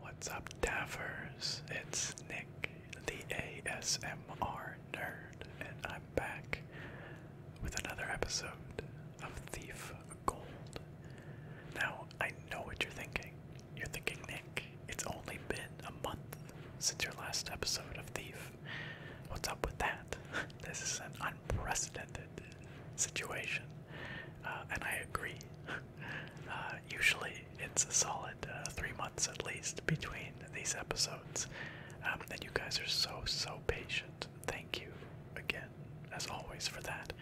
What's up, Davers? It's Nick, the ASMR nerd, and I'm back with another episode of Thief gold. Now, I know what you're thinking. You're thinking, Nick, it's only been a month since your last episode of Thief. What's up with that? This is an unprecedented situation, uh, and I agree. Uh, usually, it's a solid uh, three months at least between these episodes, um, and you guys are so, so patient. Thank you again, as always, for that.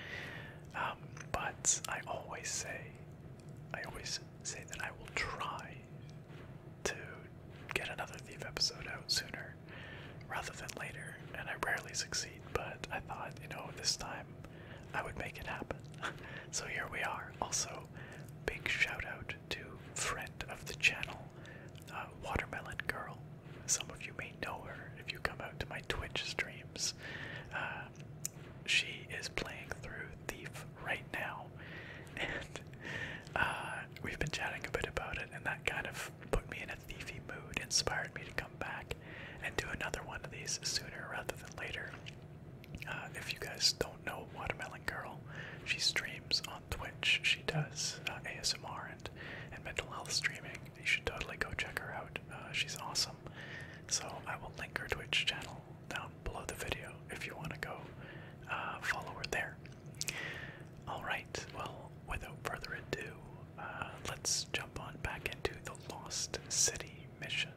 Um, but I always say, I always say that I will try to get another Thief episode out sooner rather than later, and I rarely succeed, but I thought, you know, this time I would make it happen. so here we are. Also, big shout out to friend of the channel, uh, Watermelon Girl. Some of you may know her if you come out to my Twitch streams. Uh, she is playing through Thief right now, and uh, we've been chatting a bit about it, and that kind of put me in a thiefy mood, inspired me to come back and do another one of these sooner rather than later. Uh, if you guys don't know Watermelon Girl, she streams on Twitch. She does ASMR and, and mental health streaming you should totally go check her out. Uh, she's awesome. So I will link her Twitch channel down below the video if you want to go uh, follow her there. All right. Well, without further ado, uh, let's jump on back into the Lost City mission.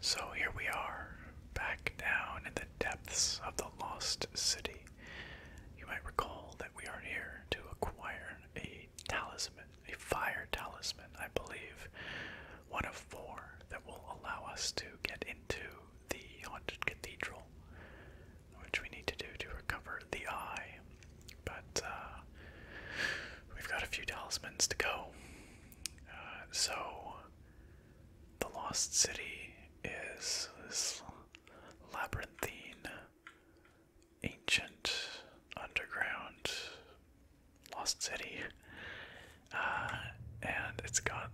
So here we are, back down in the depths of the Lost City. You might recall that we are here to acquire a talisman, a fire talisman, I believe. One of four that will allow us to get into the Haunted Cathedral, which we need to do to recover the eye. But uh, we've got a few talismans to go. Uh, so, the Lost City is this labyrinthine ancient underground lost city, uh, and it's got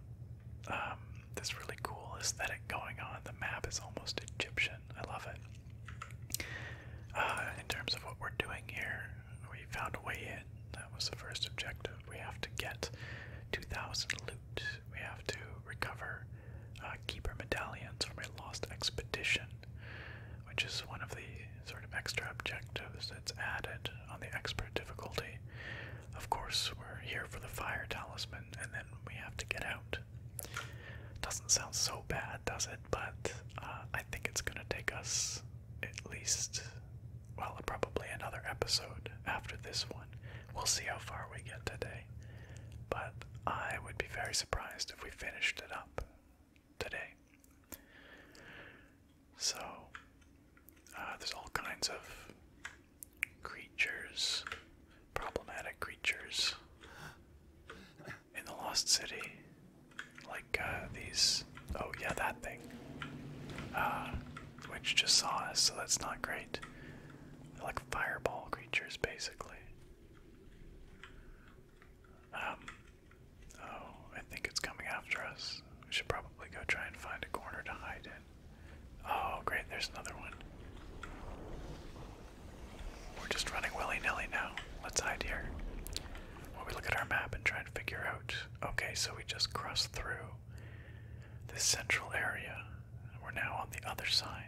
um, this really cool aesthetic going on. The map is almost Egyptian. I love it. Uh, in terms of what we're doing here, we found a way in. That was the first objective. We have to get 2,000 loot. We have to recover uh, keeper medallions from a lost expedition, which is one of the sort of extra objectives that's added on the expert difficulty. Of course, we're here for the fire talisman, and then we have to get out. Doesn't sound so bad, does it? But uh, I think it's gonna take us at least, well, probably another episode after this one. We'll see how far we get today but I would be very surprised if we finished it up today. So, uh, there's all kinds of creatures, problematic creatures in the Lost City, like uh, these. Oh, yeah, that thing. Uh, which just saw us, so that's not great. like fireball creatures, basically. Um, oh, I think it's coming after us. We should probably go try and find a corner to hide in. Oh, great, there's another one. We're just running willy nilly now. Let's hide here. While we look at our map and try and figure out. Okay, so we just crossed through this central area. We're now on the other side.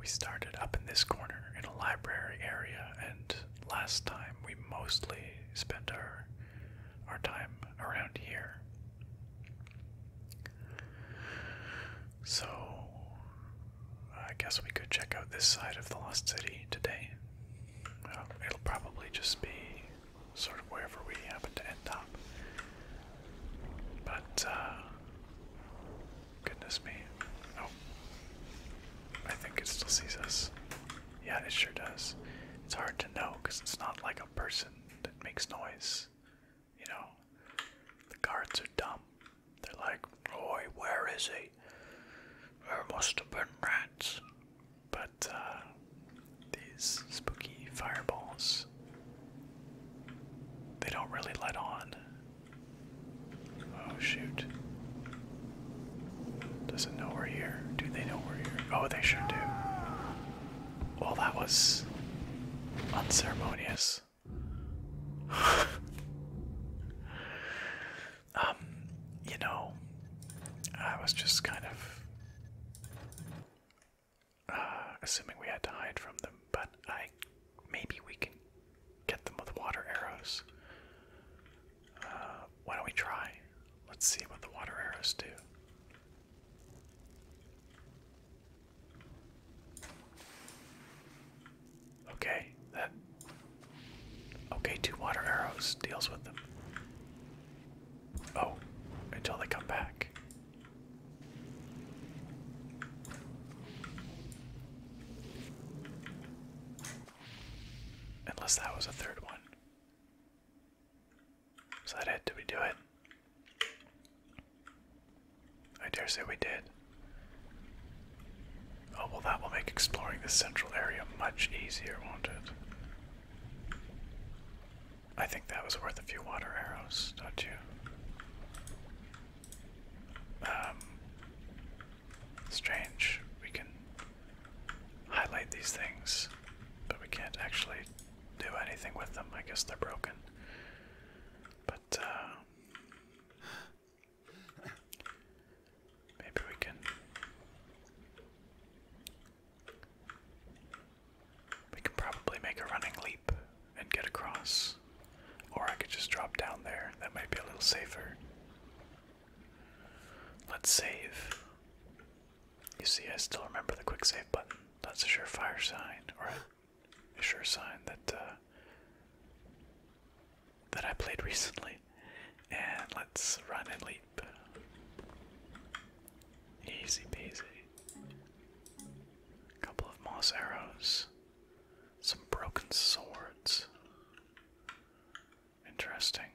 We started up in this corner in a library area, and last time we mostly spent our our time around here. So I guess we could check out this side of the Lost City today. Uh, it'll probably just be sort of wherever we happen to end up. But, uh. Goodness me. Oh. I think it still sees us. Yeah, it sure does. It's hard to know because it's not like a person that makes noise. You know? The guards are dumb. They're like, Oi, where is he? There must have been rats. But, uh. These spooky fireballs they don't really let on. Oh shoot. does it know we're here. Do they know we're here? Oh, they sure do. Well, that was unceremonious. um, you know, I was just kind of uh, assuming we had to hide from them. But I, maybe we can get them with water arrows. Uh, why don't we try? Let's see what the water arrows do. Okay, that. Okay, two water arrows deals with them. Oh, until they come back. Unless that was a third one. So that it? Did we do it? I dare say we did. Oh, well, that will make exploring the central area much easier, won't it? I think that was worth a few water arrows, don't you? Um, strange. We can highlight these things, but we can't actually do anything with them. I guess they're broken. But, uh, maybe we can. We can probably make a running leap and get across. Or I could just drop down there. That might be a little safer. Let's save. You see, I still remember the quick save button. That's a surefire sign, or a, sure sign that uh, that I played recently. And let's run and leap. Easy peasy. A couple of moss arrows. Some broken swords. Interesting.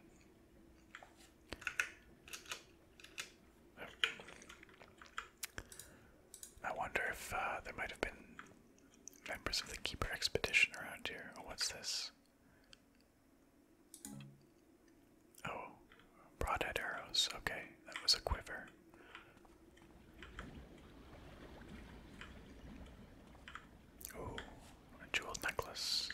I wonder if uh, there might have been members of the Keeper Expedition around here. Oh, what's this? Oh, broadhead arrows. Okay, that was a quiver. Oh, a jeweled necklace.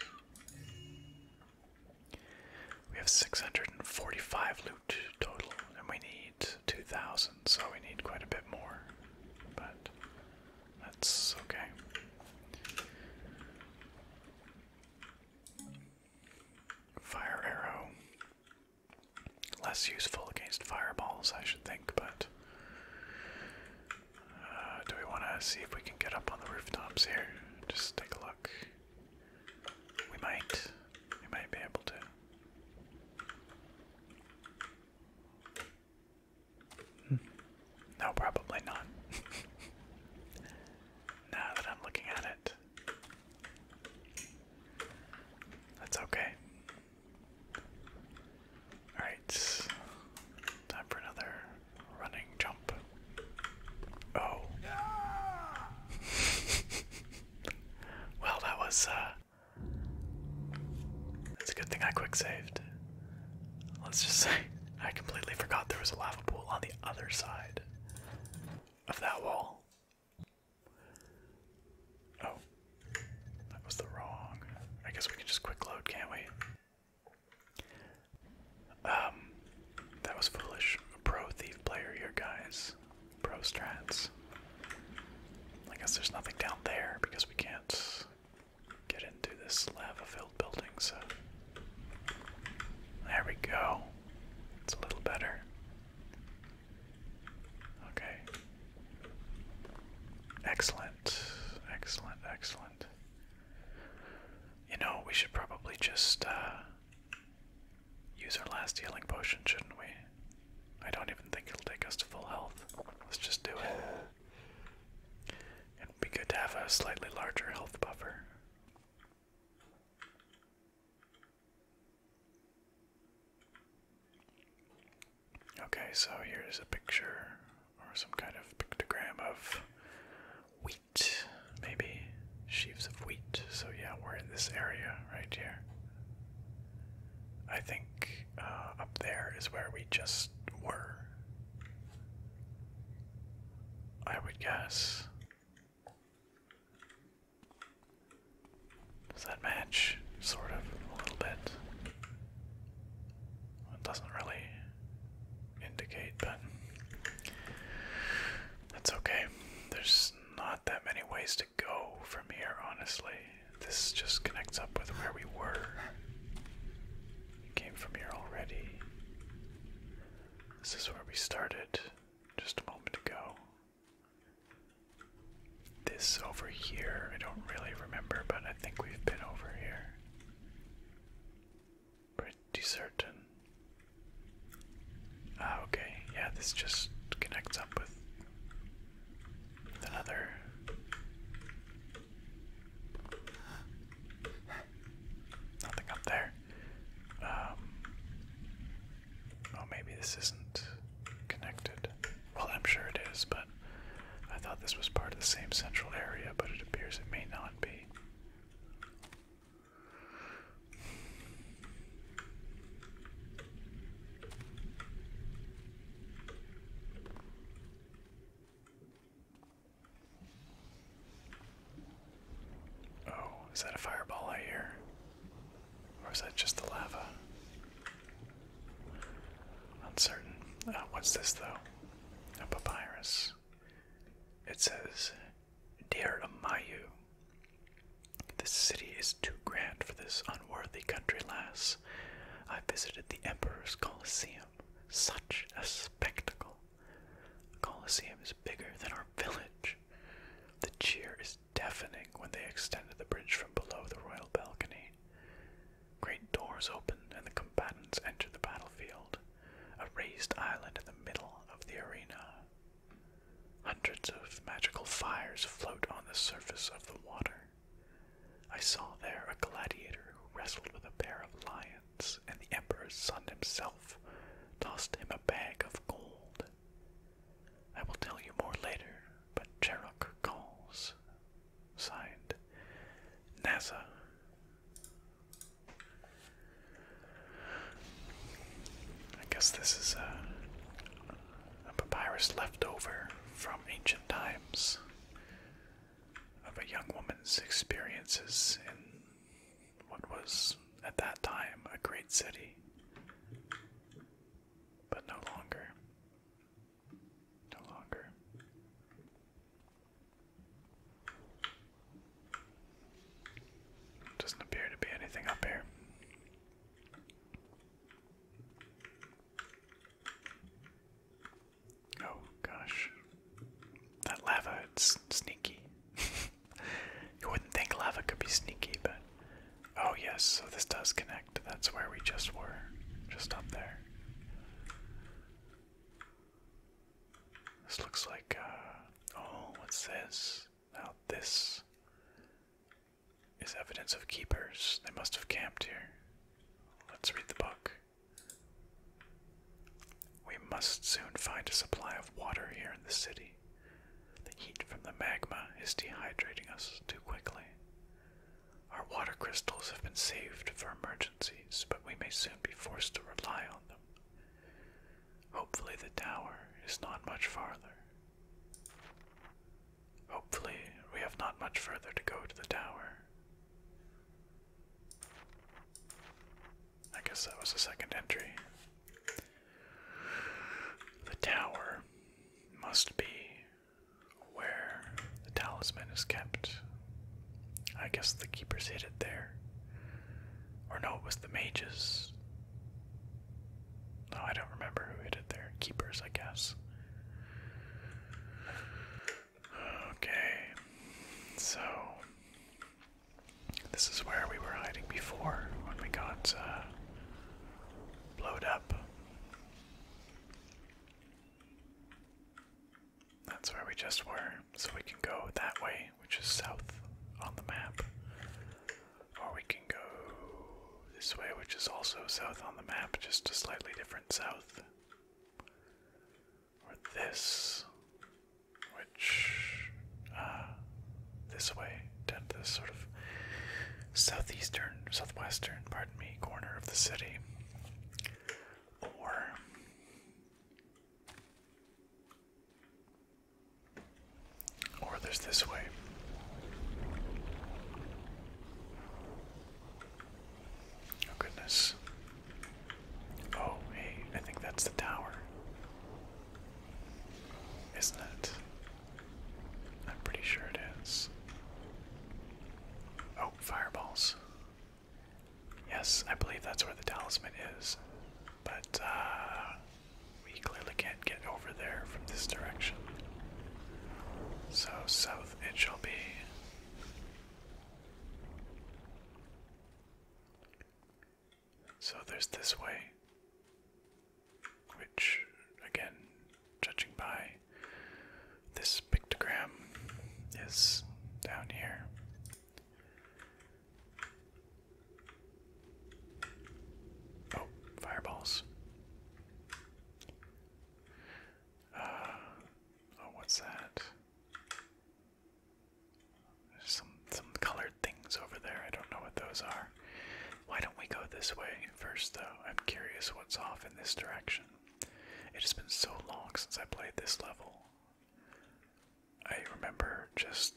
We have 645 loot total, and we need 2,000, so we need quite a bit more. But that's okay. Fire arrow. Less useful against fireballs, I should think, but. Uh, do we want to see if we can get up on the rooftops here? Just take a look. We might. We might be able to. Hmm. No, probably not. now that I'm looking at it, that's okay. Alright. Time for another running jump. Oh. well, that was, It's uh, a good thing I quick saved. Let's just say I completely forgot there was a lava pool on the other side of that wall. Oh, that was the wrong. I guess we can just quick load, can't we? Um, that was foolish. Pro thief player here, guys. Pro strats. I guess there's nothing down there because we can't get into this lava-filled building. So there we go. It's a little better. Okay. Excellent. Excellent, excellent. You know, we should probably just uh, use our last healing potion, shouldn't we? I don't even think it'll take us to full health. Let's just do it. It'd be good to have a slightly larger health buffer. Okay, so here's a picture or some kind of pictogram of wheat, maybe sheaves of wheat. So, yeah, we're in this area right here. I think uh, up there is where we just were. I would guess. Does that match? Sort of, a little bit. it doesn't really indicate, but that's okay. There's not that many ways to go from here, honestly. This just connects up with where we were. We came from here already. This is where we started just a moment ago. This over here, I don't really remember, but I think we've been over here. Pretty certain. Ah, okay. Yeah, this just connects up with, with another. Nothing up there. Um, Oh, maybe this isn't connected. Well, I'm sure it is, but I thought this was part of the same central area, but it appears it may not be. Oh, is that a fireball I hear? Or is that just the lava? Uncertain. Uh, what's this, though? A papyrus. It says, Dear Amayu, this city is too grand for this unworthy country lass. I visited the Emperor's Colosseum. Such a spectacle. The Colosseum is bigger than our village. The cheers." deafening when they extended the bridge from below the royal balcony. Great doors opened, and the combatants entered the battlefield, a raised island in the middle of the arena. Hundreds of magical fires float on the surface of the water. I saw there a gladiator who wrestled with a pair of lions, and the emperor's son himself tossed him a bag of gold. I will tell you more later, but Cherok calls. Signed, NASA. I guess this is a, a papyrus left over from ancient times of a young woman's experiences in what was, at that time, a great city but no longer. No longer. Doesn't appear to be anything up here. Oh gosh. That lava, it's sneaky. you wouldn't think lava could be sneaky, but. Oh, yes, so this does connect. That's where we just were. Just up there. This looks like, uh, oh, what's this? Now this is evidence of keepers. They must have camped here. Let's read the book. We must soon find a supply of water here in the city. The heat from the magma is dehydrating us too quickly. Our water crystals have been saved for emergencies, but we may soon be forced to rely on them. Hopefully, the tower is not much farther. Hopefully, we have not much further to go to the tower. I guess that was the second entry. The tower must be where the talisman is kept. I guess the keepers hid it there. Or no, it was the mages. No, I don't remember who hid it there. Keepers, I guess. Okay, so this is where we were hiding before when we got uh, blown up. That's where we just were, so we can go that way, which is south on the map. Or we can go this way, which is also south on the map, just a slightly different south. Or this, which, uh, this way down to sort of southeastern, southwestern, pardon me, corner of the city. Or or there's this way. Oh goodness. Oh, hey, I think that's the tower. Isn't it? I'm pretty sure it is. Oh, fireballs. Yes, I believe that's where the talisman is. But, uh, we clearly can't get over there from this direction. So, south it shall be. So, there's this way which, again, judging by this pictogram, is down here. Oh, fireballs. Uh, oh, what's that? There's some some colored things over there. I don't know what those are. Why don't we go this way first, though? I'm curious what's off in this direction. It has been so long since I played this level. I remember just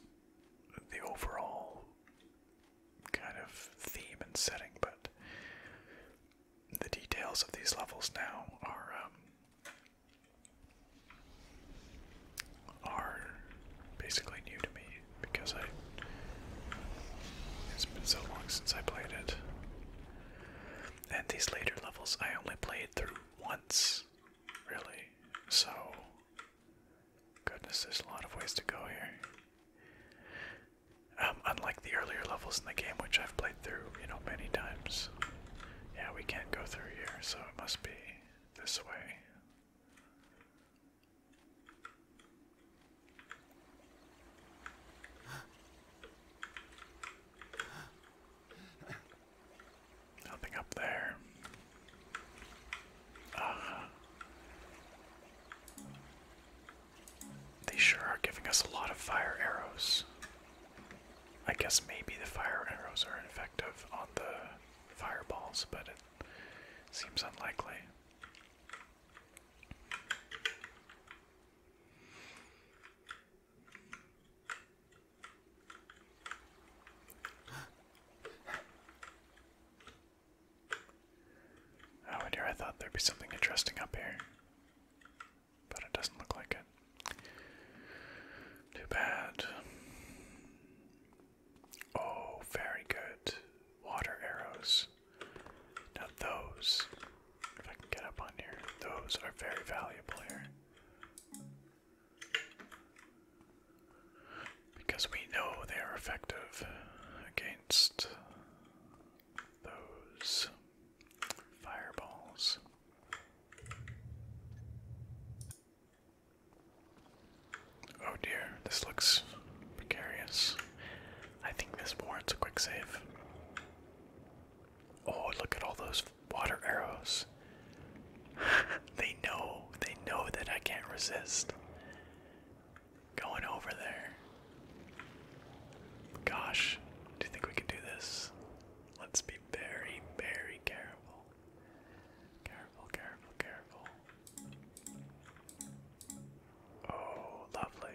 the overall kind of theme and setting, but the details of these levels now are um, are basically new to me, because I it's been so long since I played it. And these later levels I only played through once, really. So goodness, there's a lot of ways to go here. Um, unlike the earlier levels in the game, which I've played through, you know, many times. Yeah, we can't go through here, so it must be this way. Nothing up there. they sure are giving us a lot of fire arrows. I guess maybe the fire arrows are effective on the fireballs, but it seems unlikely. Oh, dear, I thought there'd be something interesting up here. But it doesn't look like it. Too bad. Oh, very good. Water arrows. Now those, if I can get up on here, those are very valuable here. Because we know they are effective against those fireballs. Oh dear, this looks precarious. I think this warrants a quick save. Oh, look at all those water arrows. they know, they know that I can't resist going over there. Gosh, do you think we can do this? Let's be very, very careful. Careful, careful, careful. Oh, lovely.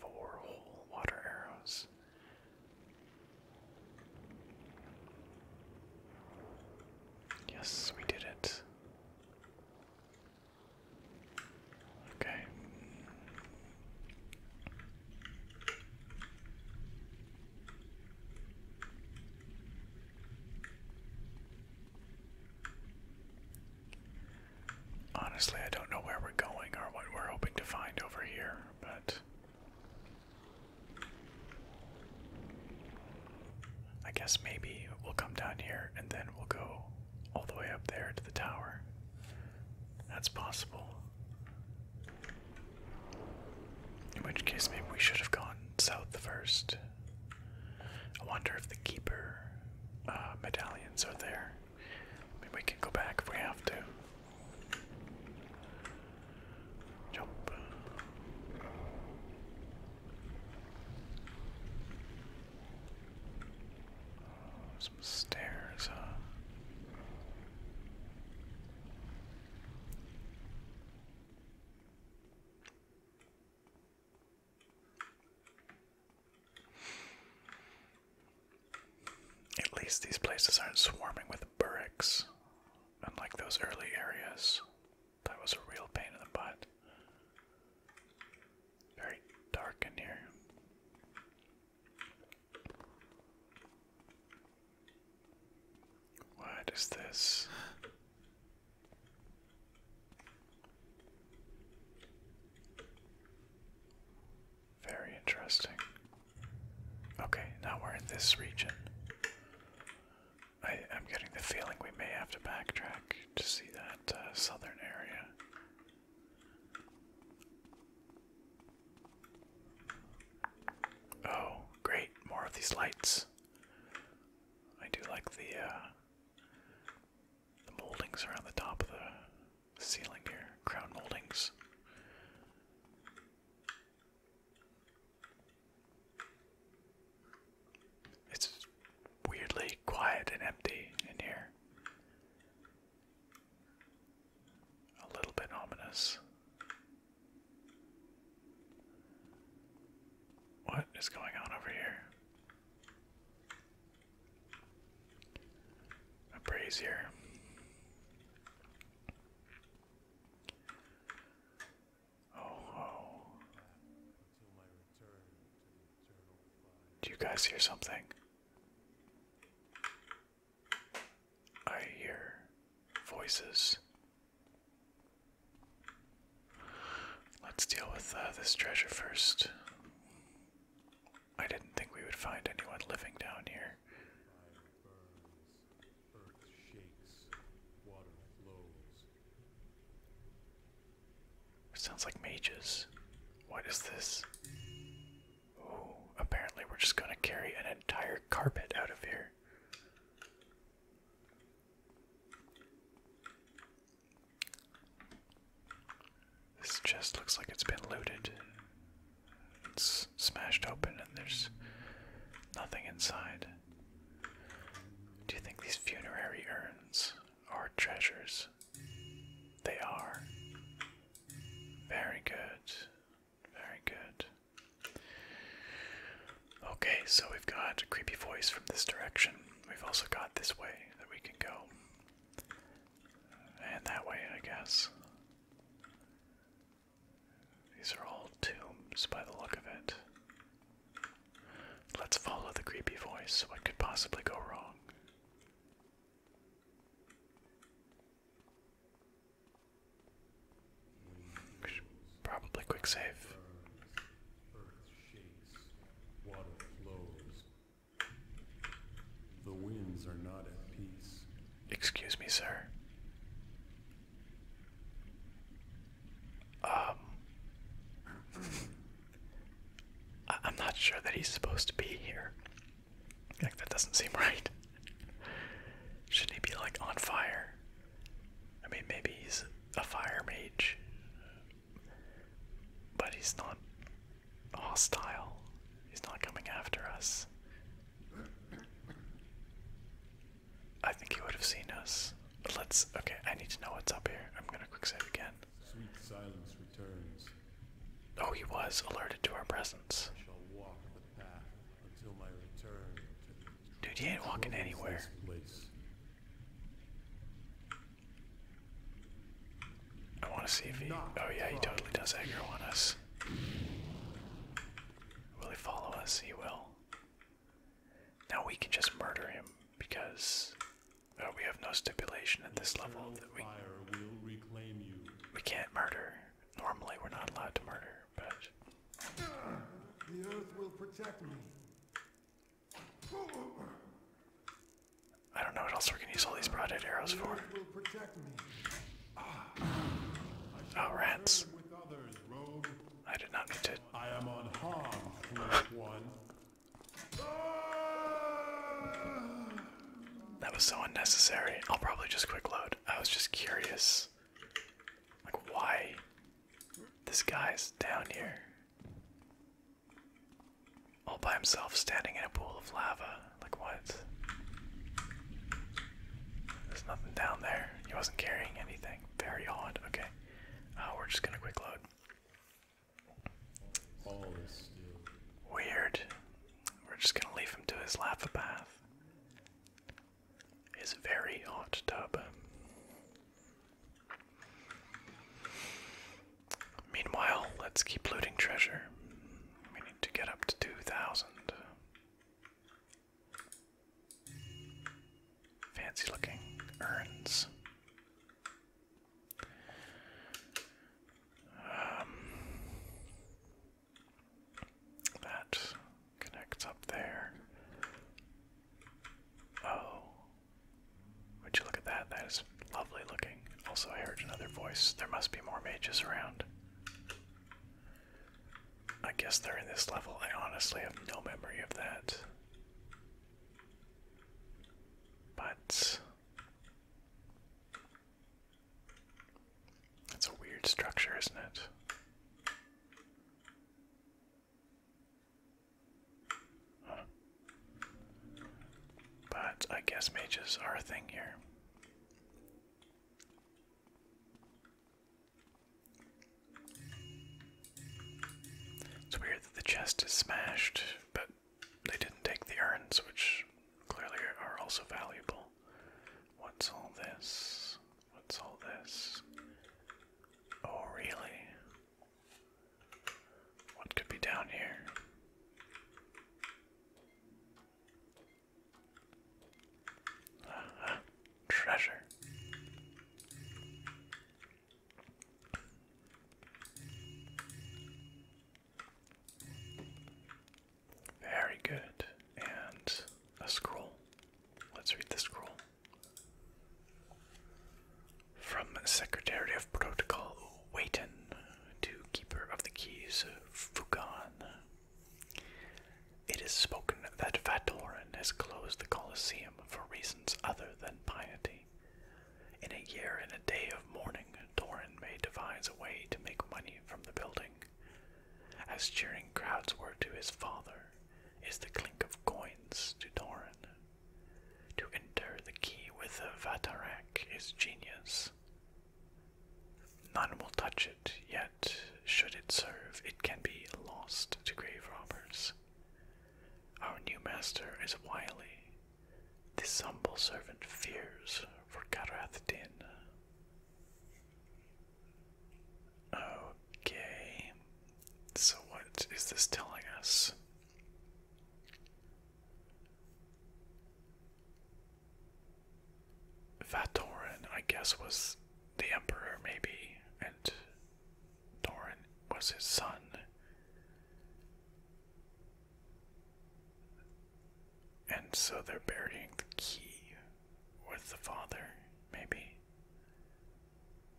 Four whole water arrows. Yes, we did it. Okay. Honestly, I don't know where we're going or what we're hoping to find over here, but I guess maybe we'll come down here and then we'll go all the way up there to the tower. That's possible. In which case, maybe we should have gone south first. I wonder if the keeper uh, medallions are there. I we can go back if we have to. Jump. Oh, some stairs, huh? At least these places aren't swarming with burricks, unlike those early areas. That was a real pain in the butt. Very dark in here. What is this? Very interesting. Okay, now we're in this region. I, am getting the feeling we may have to backtrack to see that uh, southern area. Oh, great, more of these lights. I do like the uh, the moldings around the top of the ceiling here, crown moldings. It's weirdly quiet and empty in here. A little bit ominous. What is going on over here? Appraiser. Oh, oh. Do you guys hear something? I hear voices. Let's deal with uh, this treasure first. I didn't think we would find anyone living down here. sounds like mages. What is this? Oh, apparently we're just gonna carry an entire carpet out of here. This chest looks like it's been looted. It's smashed open and there's nothing inside. Do you think these funerary urns are treasures? They are. Very good. Very good. Okay, so we've got a creepy voice from this direction. We've also got this way that we can go. And that way, I guess. These are all tombs by the look of it. Let's follow the creepy voice. What could possibly go wrong? Probably quick save. The winds are not at peace. Excuse me, sir. Um, I am not sure that he's supposed to be here. Like that doesn't seem right. Shouldn't he be like on fire? I mean, maybe he's a fire mage, but he's not hostile. He's not coming after us. I think he would have seen us. But let's. Okay, I need to know what's up here. I'm gonna quick save again. Sweet silence returns. Oh, he was alerted to our presence. Dude, he ain't walking anywhere. Place. I want to see if he. Oh, yeah, he totally does aggro on us. Will he follow us? He will. Now we can just murder him because oh, we have no stipulation at this level that we. We can't murder. Normally, we're not allowed to murder, but. The earth will protect me. I don't know what else we're gonna use all these broadhead arrows for. Oh, rats. I did not need to. I am on harm, one. That was so unnecessary. I'll probably just quick load. I was just curious. Like, why this guy's down here all by himself standing in a pool of lava. Like, what? There's nothing down there. He wasn't carrying anything. Very hot. Okay. Uh, we're just gonna quick load. All is still. Weird. We're just gonna leave him to his lava bath. His very hot tub. Meanwhile, let's keep looting treasure. We need to get up to 2,000. Fancy looking urns. Um, that connects up there. Oh, would you look at that? That is lovely looking. Also, I heard another voice. There must be more mages around. I guess they're in this level. I honestly have no memory of that. But. It's a weird structure, isn't it? But I guess mages are a thing here. It's weird that the chest is smashed, but they didn't take the urns, which clearly are also valuable. What's all this? What's all this? Oh, really? What could be down here? Uh-huh. Treasure. Very good. And a scroll. Let's read the scroll. From Secretary of Protocol Waiton to Keeper of the Keys Fugan. It is spoken that Vatoran has closed the Colosseum for reasons other than piety. In a year and a day of mourning, Torin may devise a way to make money from the building. As cheering crowds were to his father, is the clink of coins to Torin. To enter the key with a Vatarak is genius. None will touch it, yet, should it serve, it can be lost to grave robbers. Our new master is wily. This humble servant fears for Karath Din. Okay, so what is this telling us? Vatoran, I guess, was the emperor, maybe, and Doran was his son. And so they're burying the key with the father, maybe.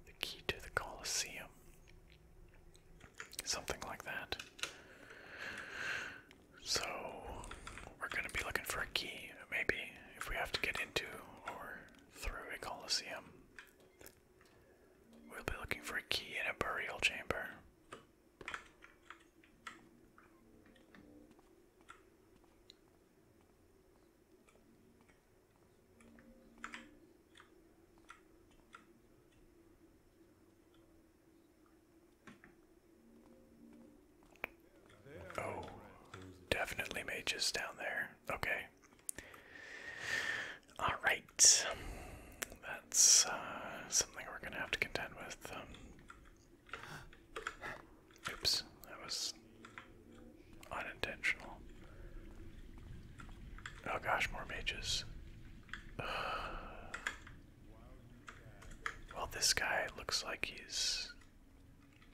The key to the Colosseum something like that. So we're gonna be looking for a key, maybe if we have to get into or through a coliseum. We'll be looking for a key in a burial chamber. Oh, definitely mages down there. Okay. Alright. That's uh, something we're going to have to contend with. Um, oops, that was unintentional. Oh gosh, more mages. Well, this guy looks like he's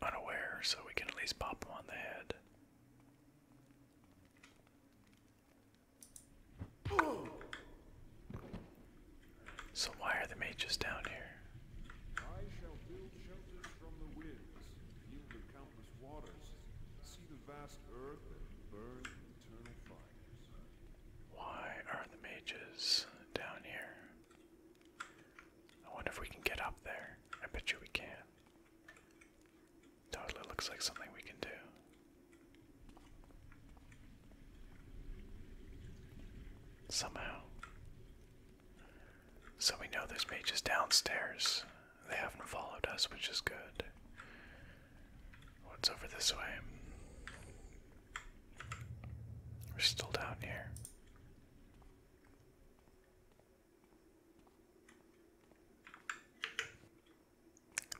unaware, so we can at least pop him on the head. So why are the mages down here? I shall build shelters from the winds, why are the mages down here? I wonder if we can get up there. I bet you we can. Totally looks like something we can do. Somehow. So we know there's mages downstairs. They haven't followed us, which is good. What's over this way? We're still down here.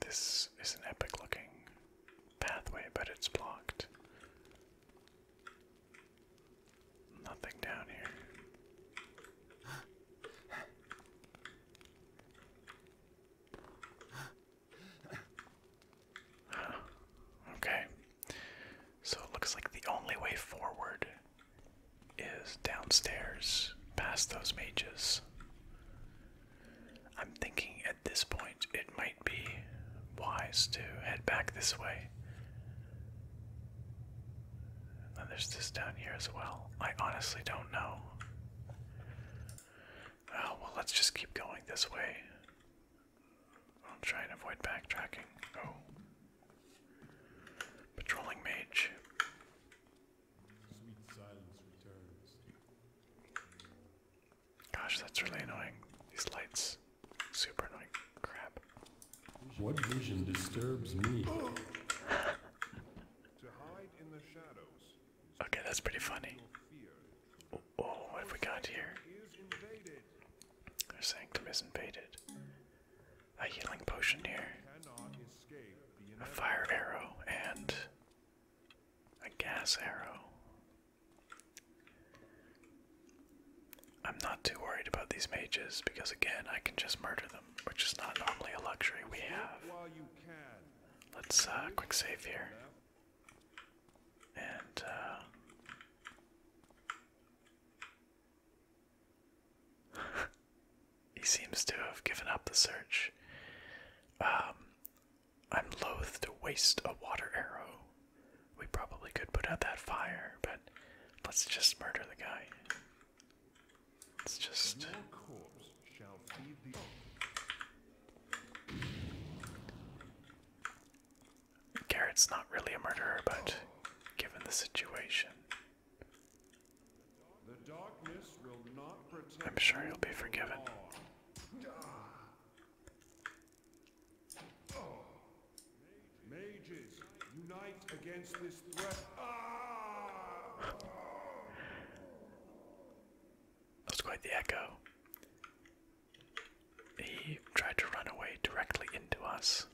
This is an epic looking pathway, but it's blocked. Nothing down here. okay. So it looks like the only way forward is downstairs past those mages. I'm thinking at this point it might be wise to head back this way. And then there's this down here as well. I honestly don't know. Oh, well, let's just keep going this way. I'll try and avoid backtracking. Oh. Patrolling mage. Gosh, that's really annoying. These lights. Super annoying. Crap. What vision disturbs me? to hide in the shadows. Okay, that's pretty funny. Oh, what have we got here? Our sanctum is invaded. A healing potion here. A fire arrow and a gas arrow. I'm not too worried about these mages because, again, I can just murder them, which is not normally a luxury we have. Let's uh, quick save here. And uh, he seems to have given up the search. Um, I'm loath to waste a water arrow. We probably could put out that fire, but let's just murder the guy. It's just shall feed the Garrett's not really a murderer, but given the situation, I'm sure he'll be forgiven. That's quite the echo. He tried to run away directly into us.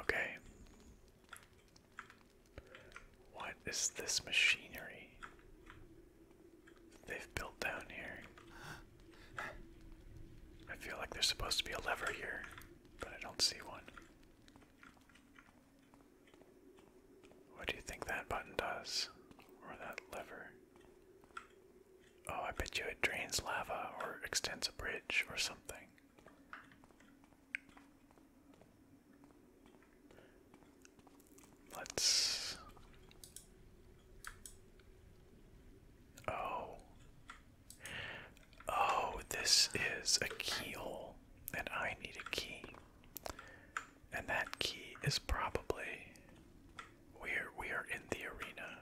Okay. What is this machinery they've built down here? I feel like there's supposed to be a lever here, but I don't see one. What do you think that button does? Or that lever? Oh, I bet you it drains lava or extends a bridge or something. Let's. Oh. Oh, this is a keyhole, and I need a key. And that key is probably we're we are in the arena.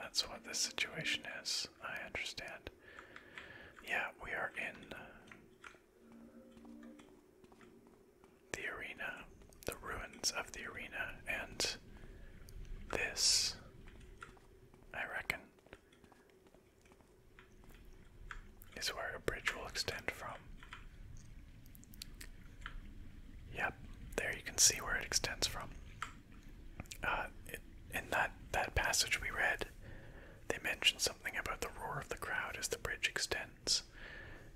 That's what this situation is. I understand. Yeah, we are in the arena, the ruins of the arena, and this, I reckon, is where a bridge will extend from. Yep, there you can see where it extends from. Uh, in that, that passage we read, they mentioned something about the roar of the crowd as the bridge extends.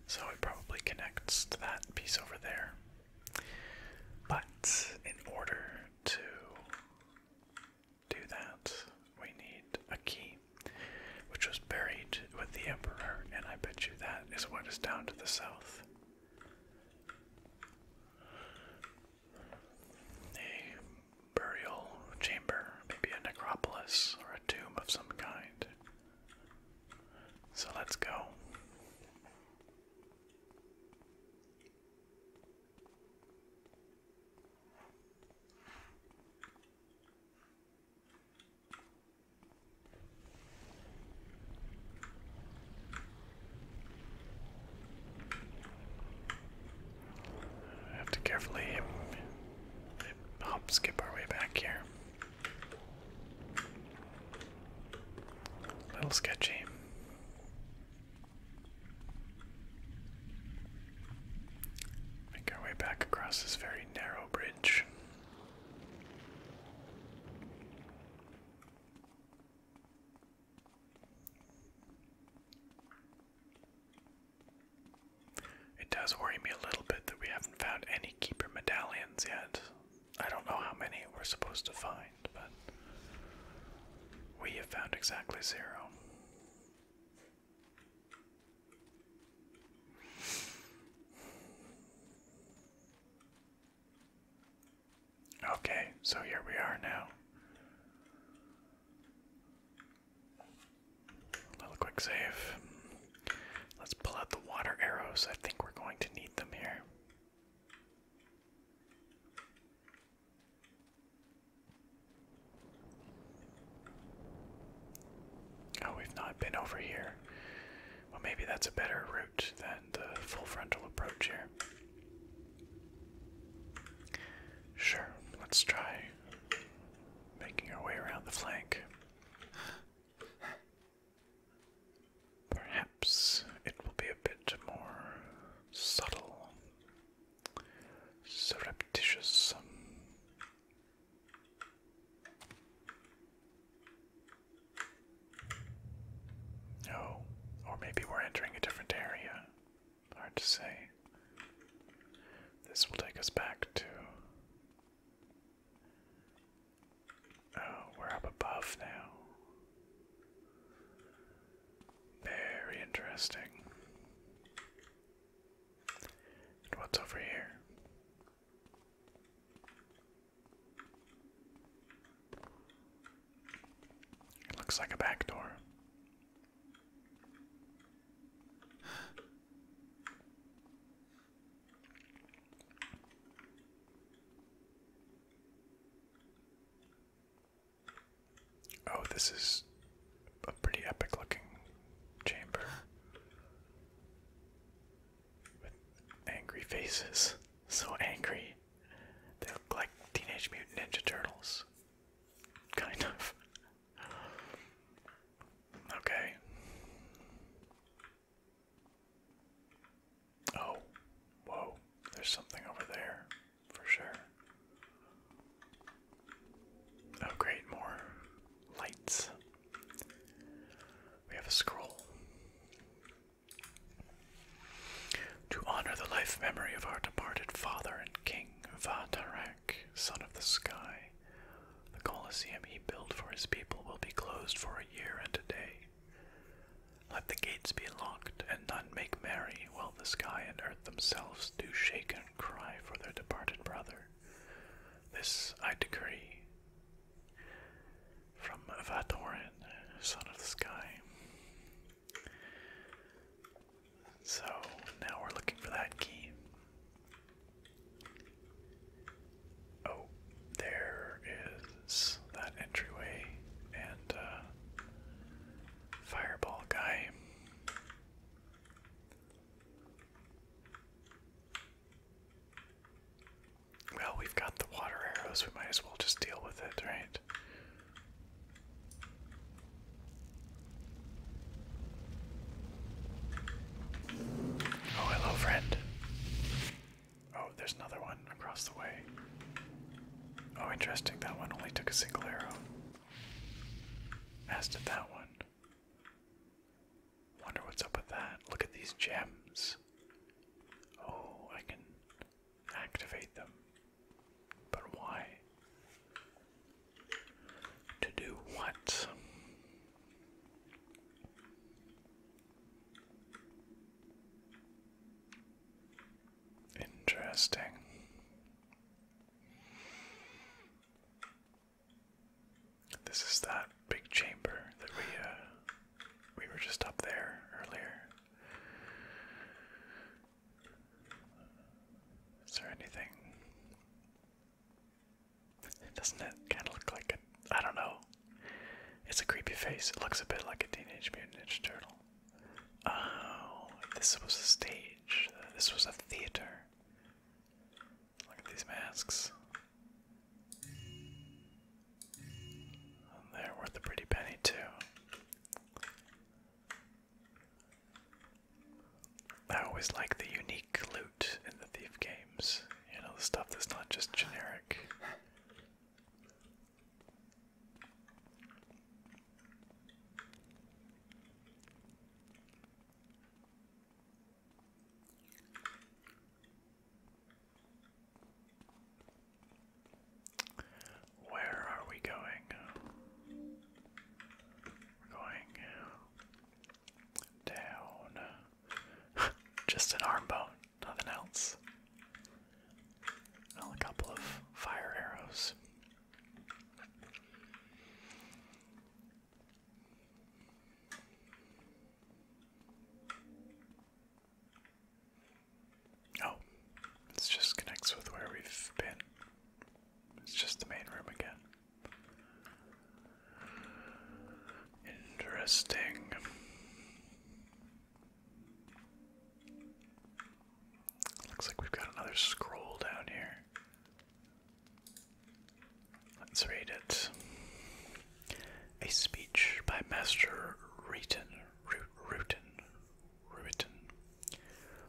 So it probably connects to that piece over there. But in order to do that, we need a key, which was buried with the Emperor, and I bet you that is what is down to the south. A burial chamber, maybe a necropolis or a tomb of some kind. So let's go. I have to carefully hop skip our way back here. A little sketchy. Make our way back across this very narrow bridge. It does worry me a little bit that we haven't found any keeper medallions yet. I don't know how many we're supposed to find, but we have found exactly zero. Okay, so here we are now. A little quick save. Let's pull out the water arrows. I think we're going to need them here. Oh, we've not been over here. Well, maybe that's a better route than the full frontal approach here. Sure, let's try making our way around the flank. Perhaps it will be a bit more subtle, surreptitious. Um, Oh, or maybe we're entering a different area. Hard to say. This will take us back to. Oh, we're up above now. Very interesting what's over here? It looks like a back door. Oh, this is a pretty epic looking chamber with angry faces. So angry. They look like Teenage Mutant Ninja Turtles. Kind of. Okay. Oh, whoa. There's something over there, for sure. Oh, great, more lights. We have a scroll. To honor the life memory of our departed father and king, Vatarak, son of the sky, the coliseum he built for his people will be closed for a year and a day. Let the gates be locked, and none make merry, while the sky and earth themselves do shake and cry for their departed brother. This I decree from Vatorin, son of the sky. So now we're looking for that key. Oh, there is that entryway and uh, fireball guy. Well, we've got the water arrows, we might as well just deal with it, right? Oh, hello, friend. Oh, there's another one across the way. Oh, interesting, that one only took a single arrow. As did that one. Wonder what's up with that. Look at these gems. Oh, I can activate them. But why? To do what? Interesting. This is that big chamber that we uh, we were just up there earlier. Is there anything? Doesn't it kind of look like a? I don't know. It's a creepy face. It looks a bit like a Teenage Mutant Ninja Turtle. Oh, this was a stage. This was a theater. Look at these masks. they're worth a pretty penny, too. I always like the unique loot in the Thief games. You know, the stuff that's not just generic. Where are we going? We're going down. Just an arm bone, nothing else. Well, a couple of fire arrows. Oh, this just connects with where we've been. It's just the main room again. Interesting. Looks like we've got another scroll down here. Let's read it. A speech by Master Reuton, Reuton, Reuton,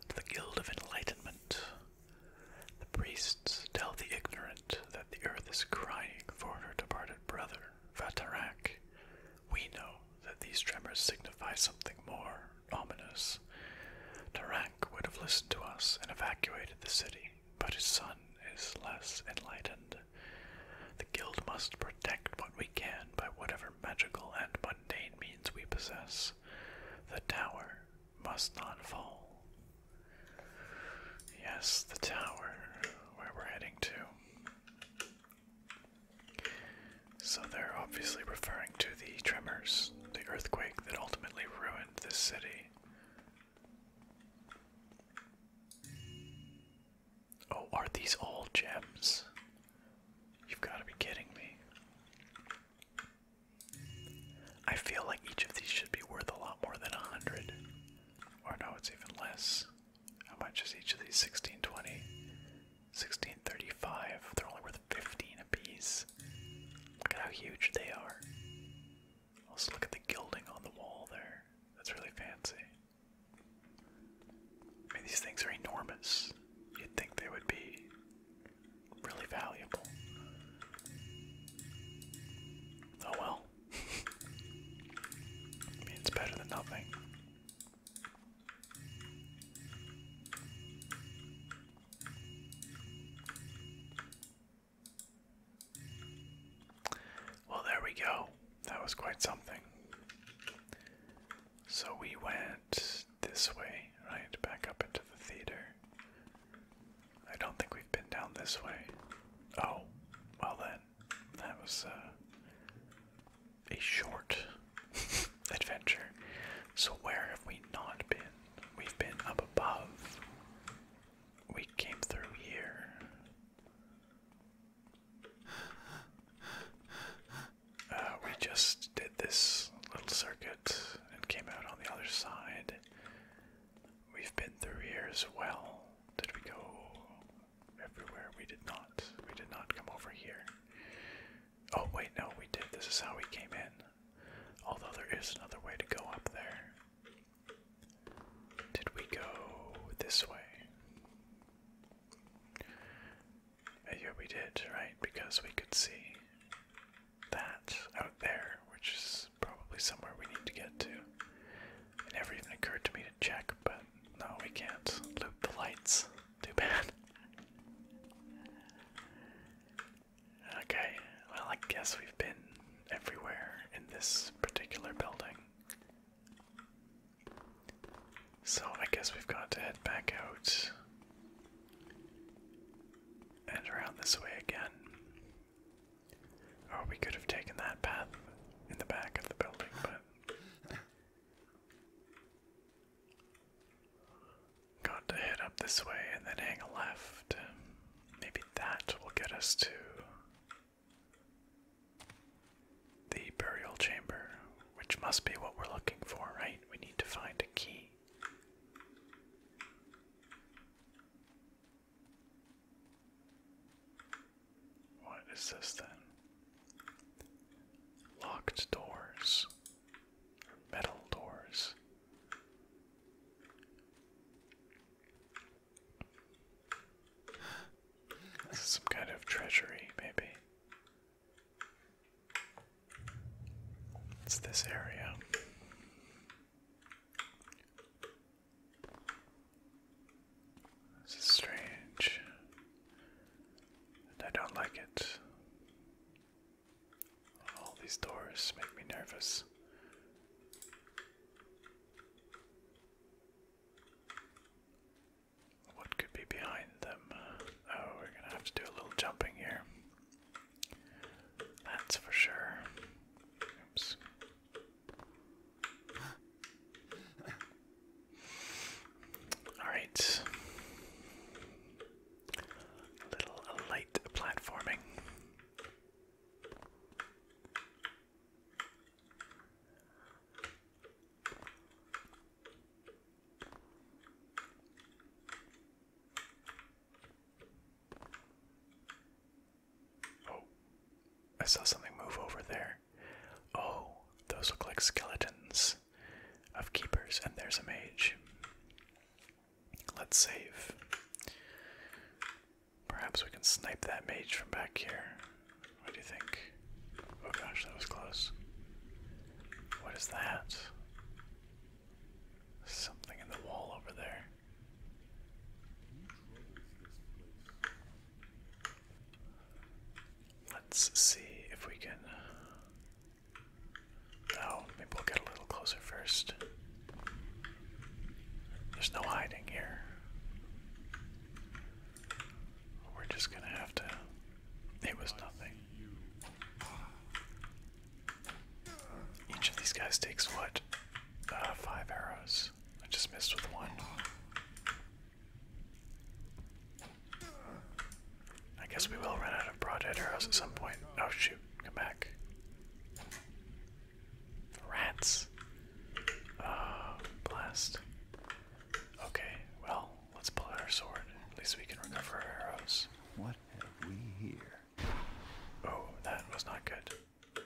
to the Guild of Enlightenment. The priests tell the ignorant that the earth is crying for her departed brother, Vatarak. We know that these tremors signify something more ominous. Tarak would have listened to us and evacuated the city but his son is less enlightened. The guild must protect what we can by whatever magical and mundane means we possess. The tower must not fall. Yes, the tower, where we're heading to. So they're obviously referring to the tremors, the earthquake that ultimately ruined this city. Oh, are these all gems? You've got to be kidding me. I feel like each of these should be worth a lot more than a hundred. Or no, it's even less. How much is each of these? 1620, 1635. They're only worth 15 apiece. Look at how huge they are. Also, look at the gilding on the wall there. That's really fancy. I mean, these things are enormous. You'd think they would be really valuable. Oh well. I mean, it's better than nothing. Well, there we go. That was quite something. So we went this way, right? Back up into the theater. I don't think we've been down this way. Oh, well then. That was uh, a short adventure. So, where have we not been? We've been up above we came through here. Uh, we just did this little circuit and came out on the other side. We've been through here as well. Did we go everywhere? We did not. We did not come over here. Oh, wait, no, we did. This is how we came in. Although there is another way to go up there. Did we go this way? Uh, yeah, we did, right? Because we could see that out there, which is probably somewhere we need to get to. It never even occurred to me to check, but no, we can't Loop the lights. Too bad. Okay, well, I guess we've been everywhere in this particular building. So I guess we've got to head back out and around this way again. Or we could have taken that path in the back of the building, but. Got to head up this way and then hang left. Maybe that will get us to the burial chamber, which must be what we're looking for, right? We need to find a key. What is this then? Locked doors, metal doors. This is Some kind of treasury, maybe. It's this area. This is strange. And I don't like it. All these doors make me nervous. What could be behind them? Uh, oh, we're gonna have to do a little jumping here. That's for sure. Oops. Alright. A little light platforming. Oh, I saw something move over there. Oh, those look like skeletons of keepers, and there's a mage. Let's save. Perhaps we can snipe that mage from back here. What do you think? Oh gosh, that was close. What is that? Something in the wall over there. Let's see if we can. Oh, maybe we'll get a little closer first. There's no hiding here. We're just gonna have to. It was nothing. Each of these guys takes what? Uh, five arrows. I just missed with one. I guess we will run out of broadhead arrows at some point. Oh shoot, come back. Rats. Uh, blast. Okay, well, let's pull out our sword. At least we can recover arrows. What have we here? Oh, that was not good.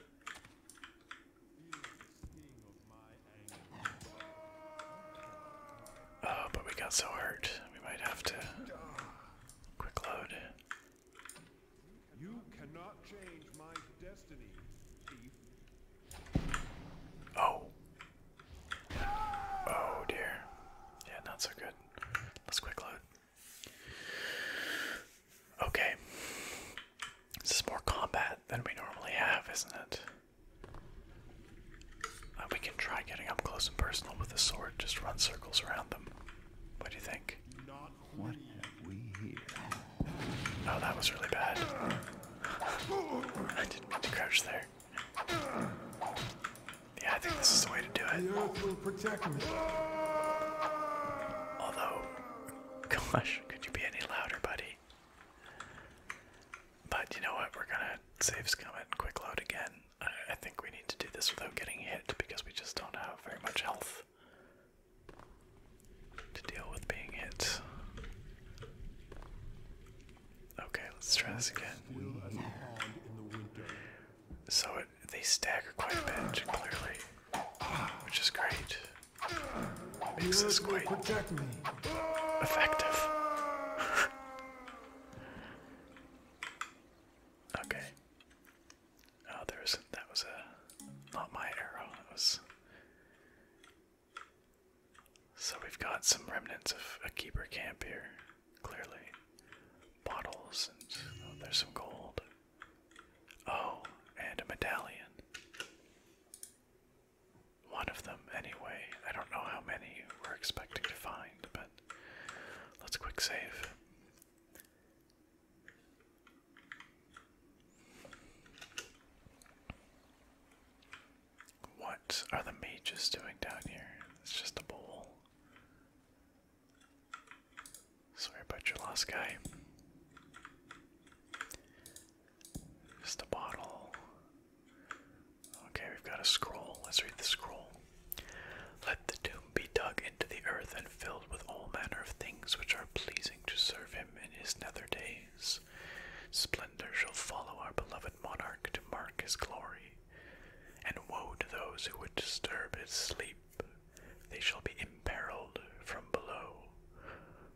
Oh, but we got so hurt. We might have to quick load. You cannot change my destiny, Oh. Oh dear. Yeah, not so good. Let's quick load. Okay. This is more combat than we normally have, isn't it? Uh, we can try getting up close and personal with the sword, just run circles around them. What do you think? Oh, that was really bad. I didn't mean to crouch there. Yeah, I think this is the way to do it. Although, gosh, could you be any louder, buddy? But you know what? We're gonna save scum quick load again. I think we need to do this without getting hit because we just don't have very much health to deal with being hit. Okay, let's try this again. So they stagger quite a bit, clearly, which is great. Makes this quite effective. okay. Oh, there's that was a uh, not my arrow. That was. So we've got some remnants of a keeper camp here, clearly. Bottles and oh, there's some gold. Oh, and a medallion. One of them, anyway. I don't know how many we're expecting to find, but let's quick save. What are the mages doing down here? It's just a bowl. Sorry about your lost guy. Just a bottle. Okay, we've got a scroll. Let's read the scroll. Let the tomb be dug into the earth, and filled with all manner of things which are pleasing to serve him in his nether days. Splendor shall follow our beloved monarch to mark his glory, and woe to those who would disturb his sleep. They shall be imperiled from below,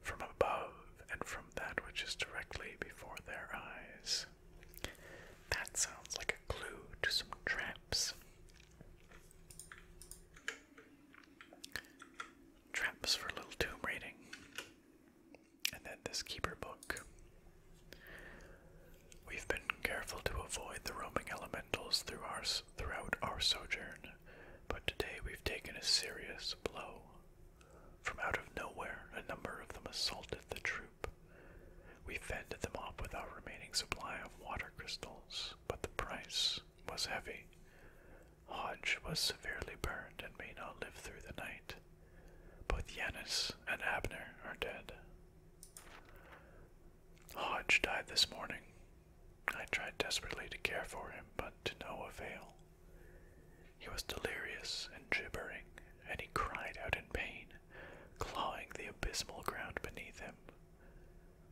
from above, and from that which is directly before their eyes. That sounds like a clue to some traps. Traps for a little tomb raiding. And then this keeper book. We've been careful to avoid the roaming elementals through our, throughout our sojourn, but today we've taken a serious blow. From out of nowhere, a number of them assaulted the troop. We fended them off with our remaining supply of water crystals, but the price was heavy. Hodge was severely burned and may not live through the night. Both Yanis and Abner are dead. Hodge died this morning. I tried desperately to care for him, but to no avail. He was delirious and gibbering, and he cried out in pain, clawing the abysmal ground beneath him.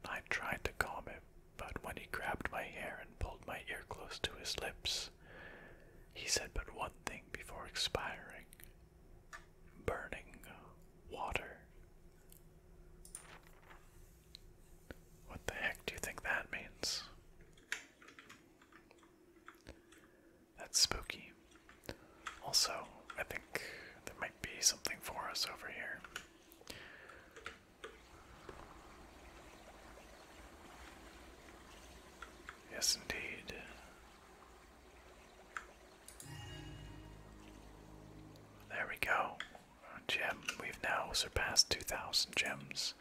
I tried to calm him, but when he grabbed my hair and pulled my ear close to his lips, he said but one thing before expiring burning water. What the heck do you think that means? That's spooky. Also, I think there might be something for us over here. Yes, indeed. There we go. gem. We've now surpassed 2,000 gems.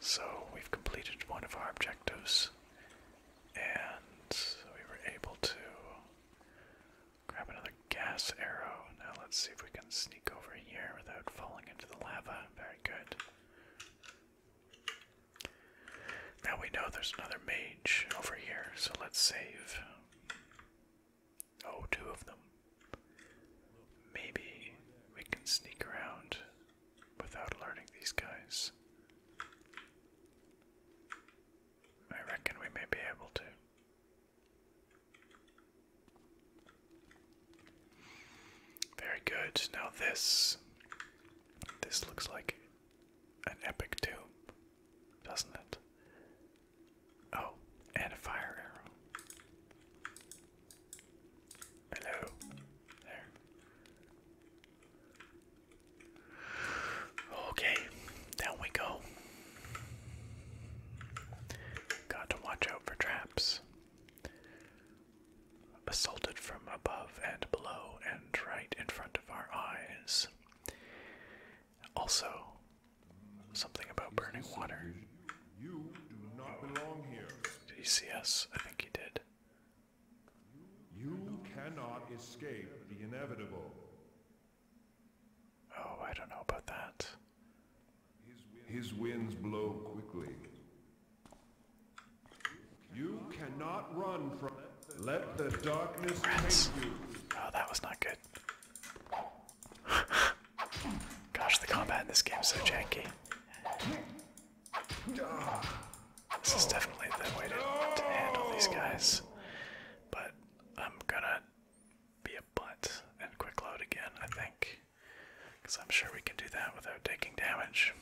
So we've completed one of our objectives. And we were able to Grab another gas arrow. Now let's see if we can sneak over here without falling into the lava. Very good. Now we know there's another mage over here, so let's save. Oh, two of them. Maybe we can sneak around without alerting these guys. I reckon we may be able to. Very good. Now this this looks like an epic tomb, doesn't it? Oh, and a fire arrow. Hello. There. Okay, down we go. Got to watch out for traps. Assaulted from above and below and right in front of our eyes. Also, something about burning water. You do not belong here. Did he see us? I think he did. You cannot escape the inevitable. Oh, I don't know about that. His winds blow quickly. You cannot run from. Let the darkness Rats. take you. Oh, that was not good. Gosh, the combat in this game is so janky. This is definitely the way to, to handle these guys. But I'm gonna be a butt and quick load again, I think. Because I'm sure we can do that without taking damage.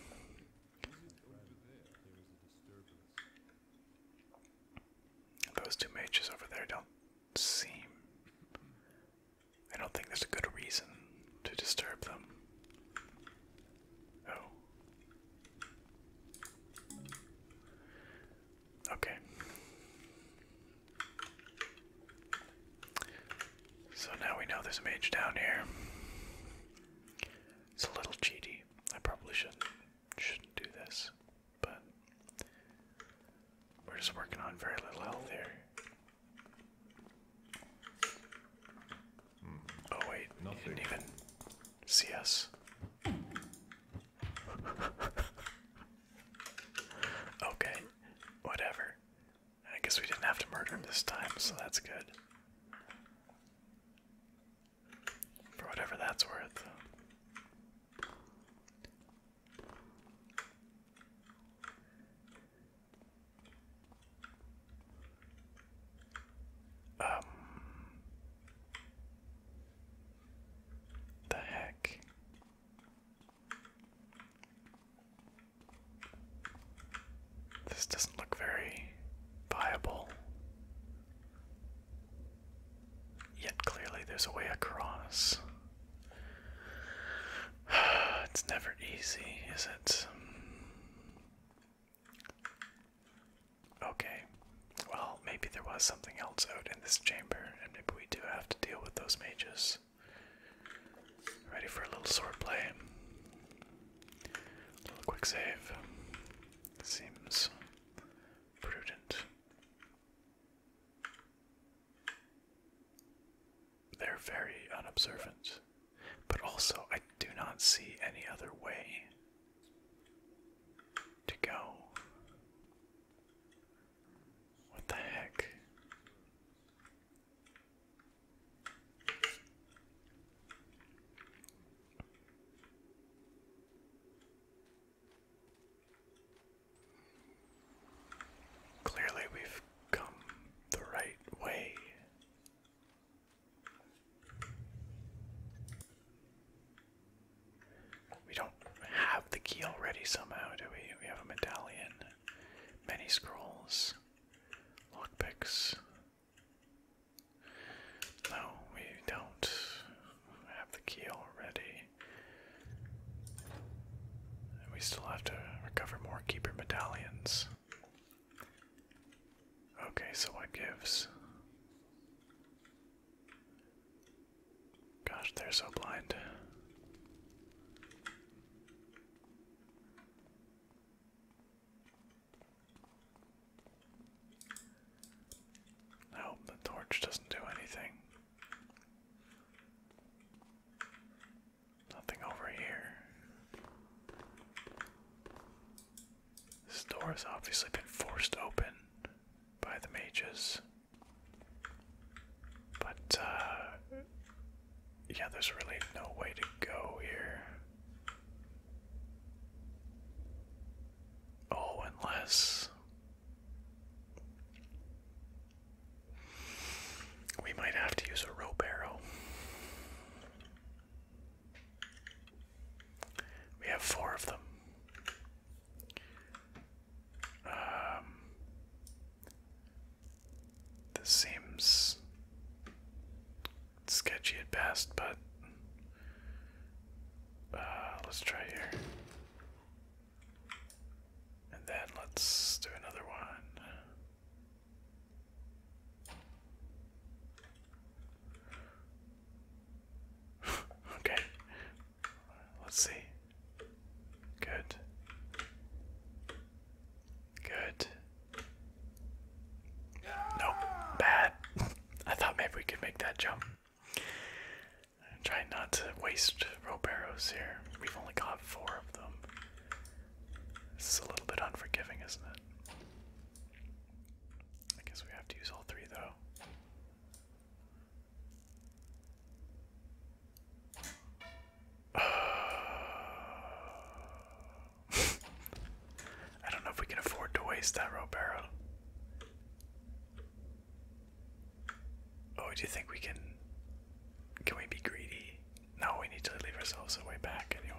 Those two mages over there don't seem. I don't think there's a good reason to disturb them. Oh. Okay. So now we know there's a mage down here. It's a little cheaty. I probably shouldn't shouldn't do this, but we're just working on very little health here. Hmm. oh wait, Nothing. he didn't even see us okay, whatever. I guess we didn't have to murder him this time, so that's good. For whatever that's worth. Um the heck this doesn't look very viable. Yet clearly there's a way across. it's never easy, is it? Okay. Well, maybe there was something else out oh, this chamber, and maybe we do have to deal with those mages. Ready for a little sword play. little quick save. Seems prudent. They're very unobservant, but also I do not see any other way to go. What the heck? Clearly, we've come the right way. We don't have the key already somehow, do we? We have a medallion, many scrolls, lockpicks. No, we don't have the key already. we still have to recover more keeper medallions. Okay, so what gives? Gosh, they're so blind. I hope the torch doesn't do anything. Nothing over here. This door has obviously been forced open by the mages. But, uh, yeah, there's really no way to go here. Oh, unless we might have to use a rope arrow. We have four of them. Um, this seems sketchy at best, but uh, let's try here. And then let's do another one. okay, Let's see. Good. Good. Nope. Bad. I thought maybe we could make that jump. I'm trying not to waste rope arrows here. We've only got four of them. This is a little bit unforgiving, isn't it? I guess we have to use all three though. I don't know if we can afford to waste that Robero. Oh, do you think we can? Can we be greedy? No, we need to leave ourselves a way back anyway.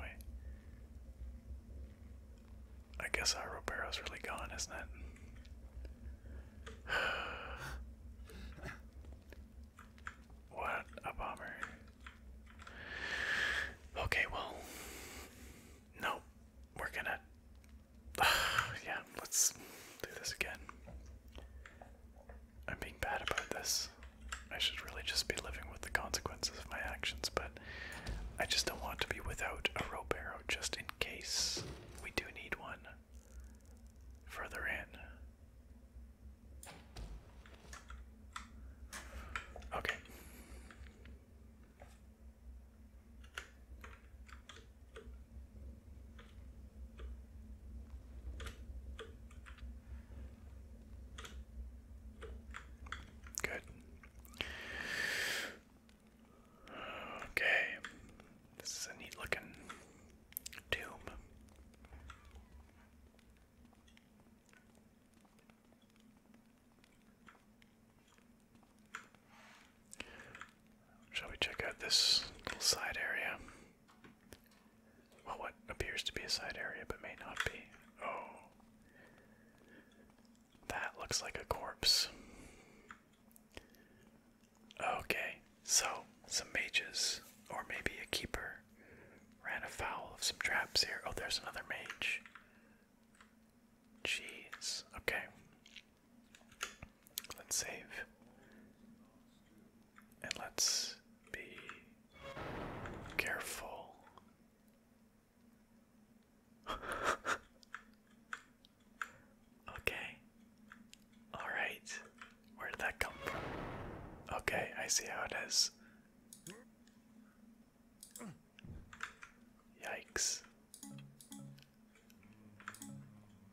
I guess our Robero's really gone, isn't it? what a bummer. Okay, well, no, we're gonna. yeah, let's do this again. I'm being bad about this. I should really just be living with the consequences of my actions, but I just don't want to be without a rope arrow just in case we do need one further in. Okay. Good. Okay. This is a neat looking Shall we check out this little side area? Well, what appears to be a side area, but may not be. Oh. That looks like a corpse. Okay, so some mages, or maybe a keeper, ran afoul of some traps here. Oh, there's another mage. Jeez, okay. Let's save. And let's be careful. Okay. Alright. Where did that come from? Okay, I see how it is. Yikes.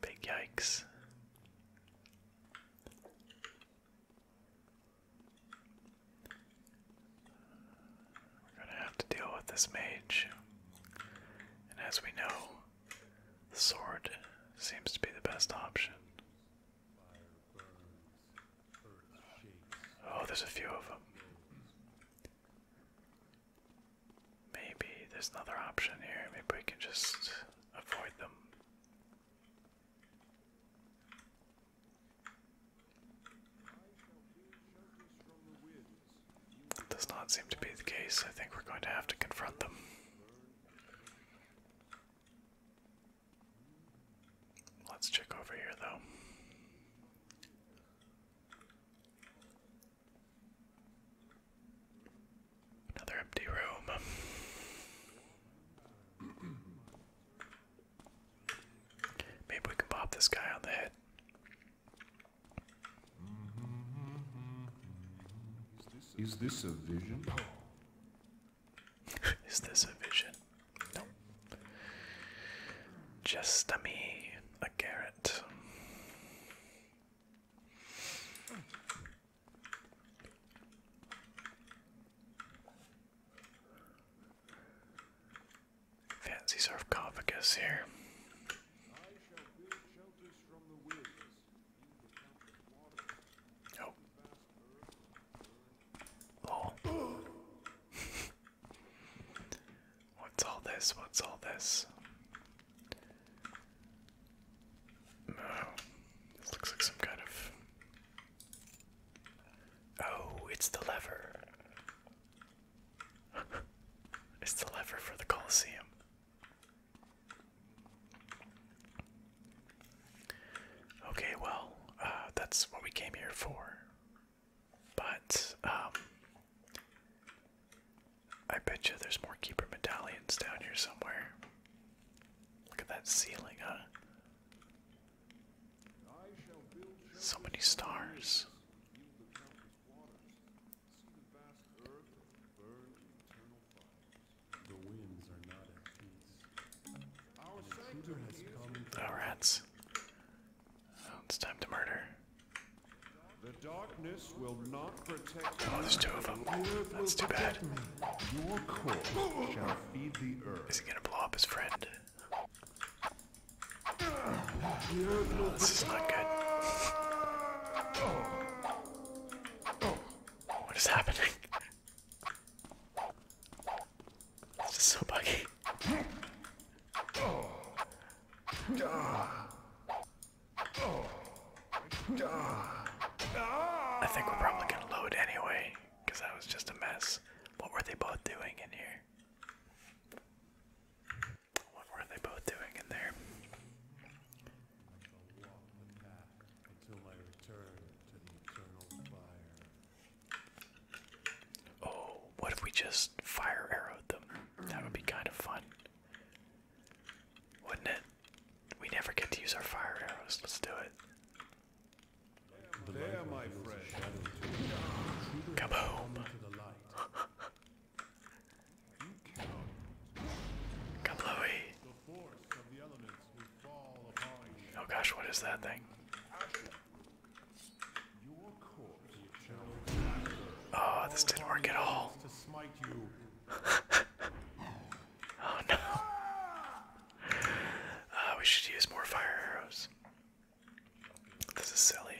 Big yikes. We're gonna have to deal with this mage. And as we know, the Sword seems to be the best option. Oh, there's a few of them. Maybe there's another option here. Maybe we can just avoid them. does not seem to be the case. I think we're going to have to confront them. Let's check over here, though. Another empty room. Maybe we can pop this guy on the head. Mm-hmm. Is this a vision? Is this a vision? No. Just a me, a garret. Fancy surf sarcophagus here. Oh. oh. What's all this? What's all this? No. This looks like some kind of. Oh, it's the lever. it's the lever for the Colosseum. Okay, well, uh, that's what we came here for. But, um, I bet you there's more keeper medallions down here somewhere. Look at that ceiling, huh? So many stars. The winds are not at peace. Our oh, rats. Oh, it's time to murder. The darkness will not protect oh, there's two of them. That's too bad. Your corpse shall feed the earth. Is he gonna blow up his friend? this is not good. What is happening? This is so buggy. I think we're probably gonna load anyway, because that was just a mess. What were they both doing in here? What were they both doing in there? until my return to the eternal fire. Oh, what if we just fire arrowed them? That would be kind of fun. Wouldn't it? We never get to use our fire arrows. Let's do it. There, my Kablooey. Oh gosh, what is that thing? Oh, this didn't work at all. oh no. Uh, we should use more fire arrows. This is silly.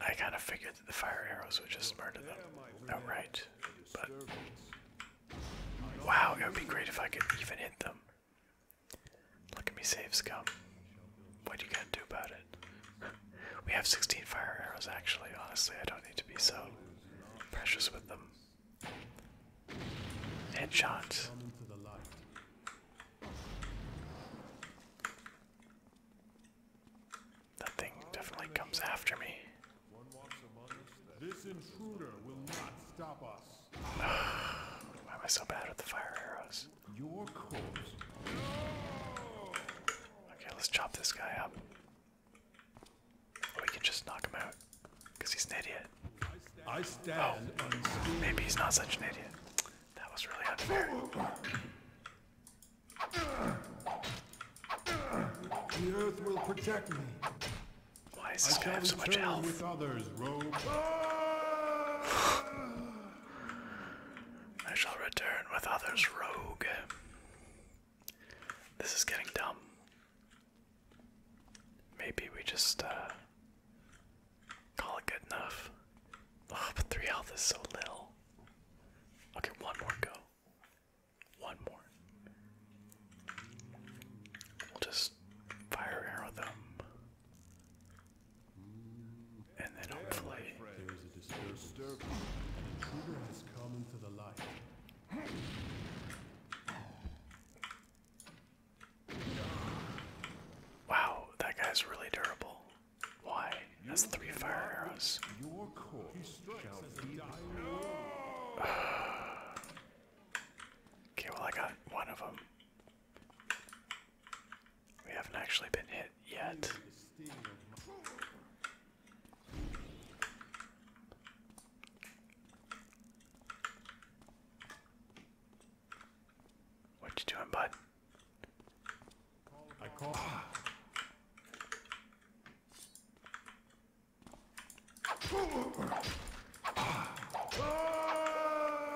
I kind of figured that the fire arrows would just murder them outright, but wow, it would be great if I could even hit them. Look at me save scum. What do you got to do about it? we have 16 fire arrows actually, honestly, I don't need to be so precious with them. Headshot. That thing definitely comes after me. This intruder will not stop us. Why am I so bad with the fire arrows? Your corpse. Okay, let's chop this guy up. Or we can just knock him out. Because he's an idiot. I stand oh, maybe he's not such an idiot. That was really unfair. The earth will protect me. Why is this I guy have so much health? With others, robe. I shall return with others, rogue. This is getting dumb. Maybe we just uh, call it good enough. Oh, three health is so little. Okay, one more go. One more. We'll just fire arrow them. And then hopefully. Wow, that guy's really durable. Why? That's three fire arrows. Your okay, well, I got one of them. We haven't actually been hit yet. What you doing, bud?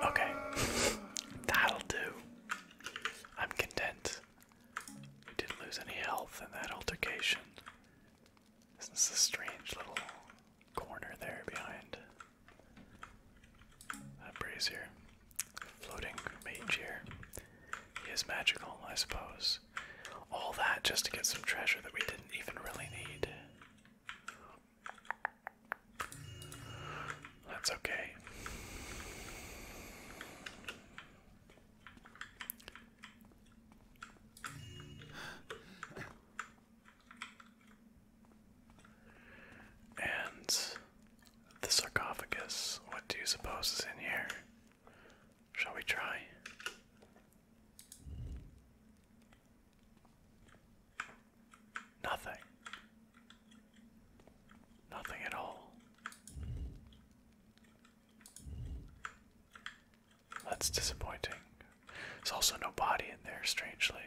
Okay, that'll do. I'm content. We didn't lose any health in that altercation. Isn't this a strange little corner there behind that brazier? Floating mage here. He is magical, I suppose. All that just to get some treasure that we didn't even really need. That's okay. And the sarcophagus, what do you suppose is in here? Shall we try? Nothing. Nothing at all. That's disappointing. There's also no body in there, strangely.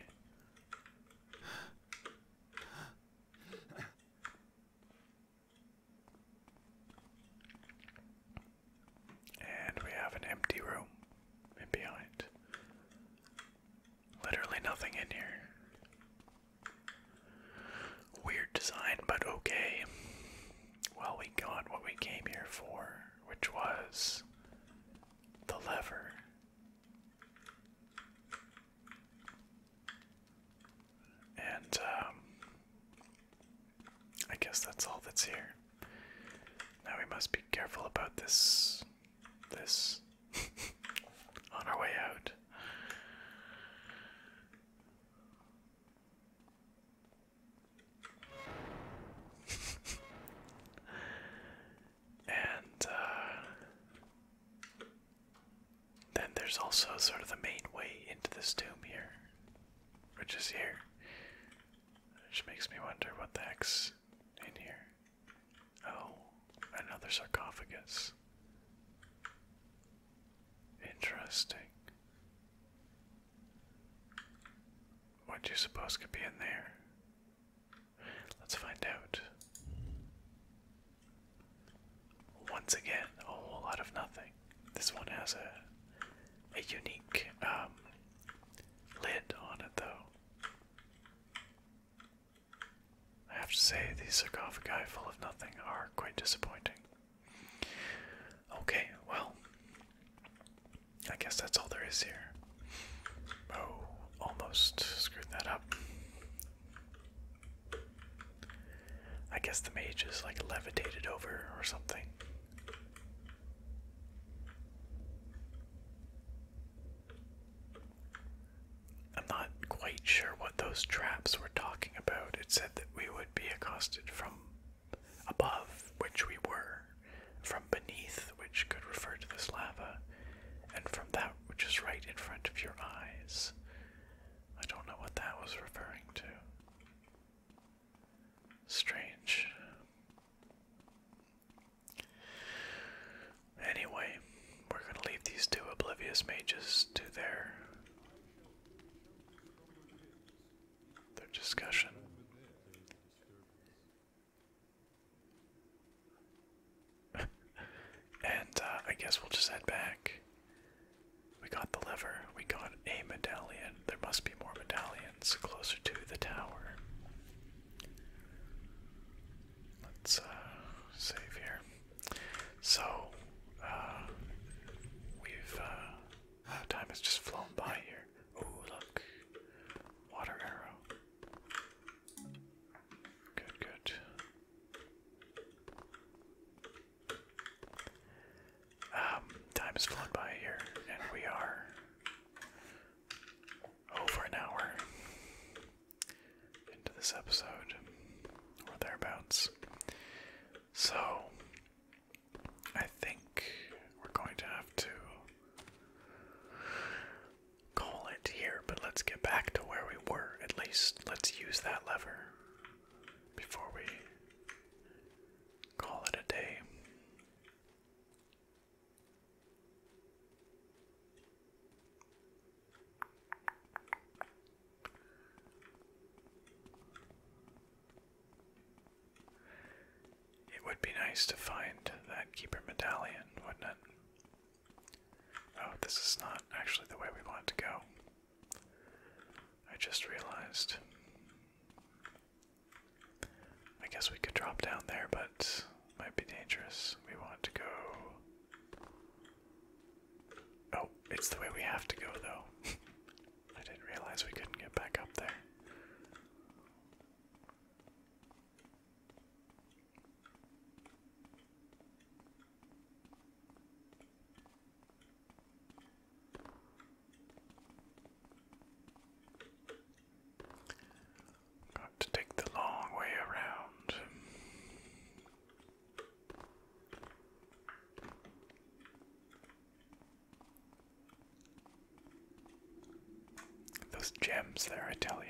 And we have an empty room in behind. Literally nothing in here. Weird design, but okay. Well, we got what we came here for, which was the lever. And, um, I guess that's all that's here. Now we must be careful about this. This. On our way out. and uh, then there's also sort of the main way into this tomb here which is here. Which makes me wonder what the heck's in here. Oh, another sarcophagus. Interesting. What do you suppose could be in there? Let's find out once again, a whole lot of nothing. This one has a a unique um, lid on it, though. I have to say, these sarcophagi full of nothing are quite disappointing. Okay, well, I guess that's all there is here. Oh, almost screwed that up. I guess the mage is like levitated over or something. I'm not quite sure what those traps were talking about. It said that we would be accosted from above, which we were, from beneath, which could refer to this lava, and from that which is right in front of your eyes. I don't know what that was referring to. Strange. Anyway, we're going to leave these two oblivious mages to their their discussion. and uh, I guess we'll just head back. We got the lever. We got a medallion. There must be more medallions closer to the tower. Let's uh, save here. So, uh, we've. Uh, time has just flown by here. Ooh, look. Water arrow. Good, good. Um, time has flown by here, and we are over an hour into this episode, or thereabouts. So, I think we're going to have to call it here, but let's get back to where we were at least. Let's use that lever before we call it a day. It would be nice to find that keeper medallion, wouldn't it? Oh, this is not actually the way we want to go. I just realized. I guess we could drop down there, but might be dangerous. We want to go. Oh, it's the way we have to go, though. I didn't realize we couldn't get back up there. Got to take the long way around. Those gems there, I tell you.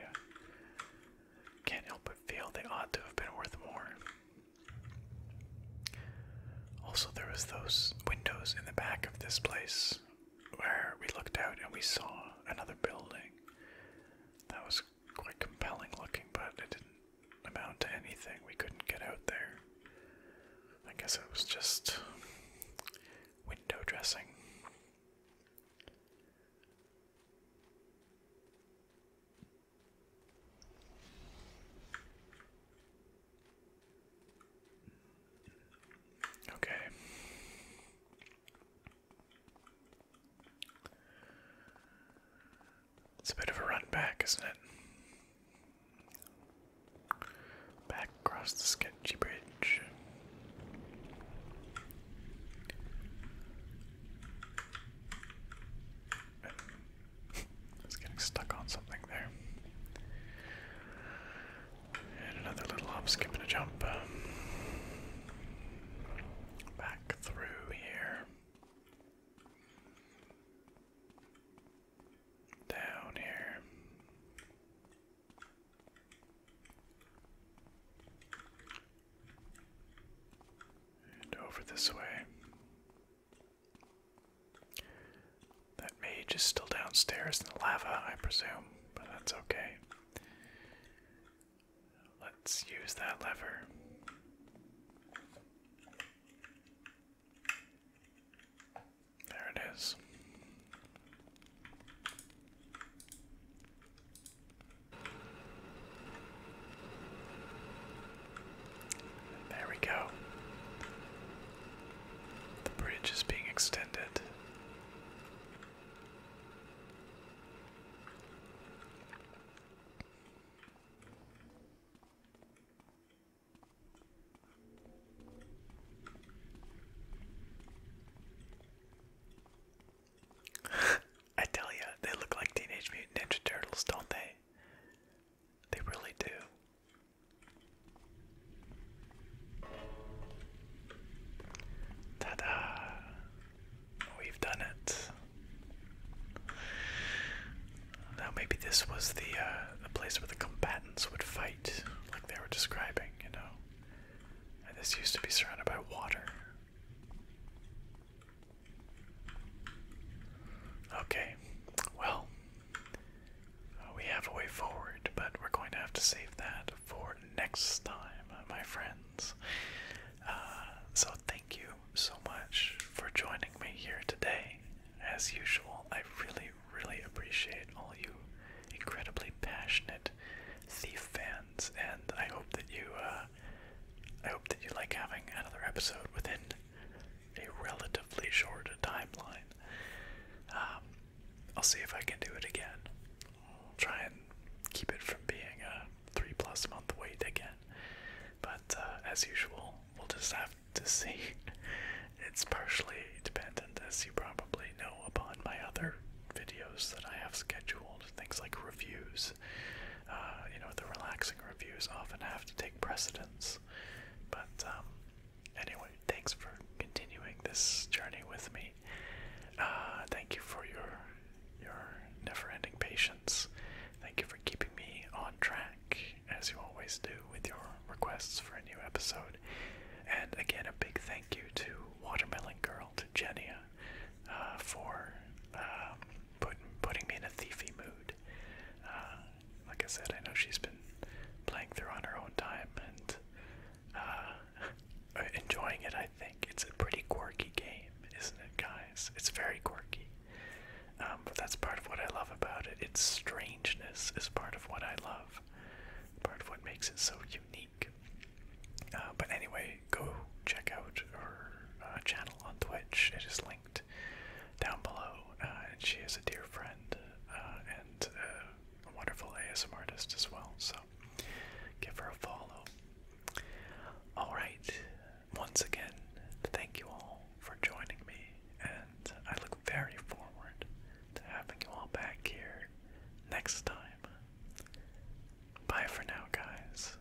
Can't help but feel they ought to have been worth more. Also, there was those windows in the back of this place where we looked out and we saw another building. That was quite compelling looking, but it didn't amount to anything. We couldn't get out there. I guess it was just window dressing. Okay. It's a bit of a run back, isn't it? Back across the sketchy bridge. I getting stuck on something there. And another little hop, skip, and a jump. Back through here. Down here. And over this way. That mage is still downstairs in the lava, I presume, but that's okay. Let's use that lever. There it is. There we go. The bridge is being extended. I tell ya, they look like Teenage Mutant Ninja Turtles, don't they? They really do. Ta da! We've done it. Now maybe this was the uh, the place where the combatants would fight, like they were describing, you know. And this used to be surrounded by water. Okay, well, uh, we have a way forward, but we're going to have to save that for next time, uh, my friends. Uh, so, thank you so much for joining me here today. As usual, I really, really appreciate all you incredibly passionate Thief fans, and I hope that you, I hope that you like having another episode within a relatively short timeline. Um, I'll see if I can do it again. I'll try and keep it from being a three plus month wait again. But uh, as usual, we'll just have to see. it's partially dependent, as you probably know, upon my other videos that I have scheduled. Things like reviews. Uh, you know, the relaxing reviews often have to take precedence. But um, anyway, thanks for continuing this journey with me. Uh, thank you for your your never-ending patience. Thank you for keeping me on track, as you always do, with your requests for a new episode. And again, a big thank you to Watermelon Girl, to Jenia, uh, for um, putting me in a thiefy mood. Uh, like I said, I know she's been playing through on her own time and uh, enjoying it. I think it's a pretty quirky game, isn't it, guys? It's very quirky, um, but that's part of what I love about it. Its strangeness is part of what I love, part of what makes it so unique. Uh, but anyway, go check out her uh, channel on Twitch. It is linked down below. Uh, and she is a dear friend uh, and uh, a wonderful ASM artist as well. So give her a follow. All right. Once again, thank you all for joining me, and I look very forward to having you all back here next time. Bye for now, guys.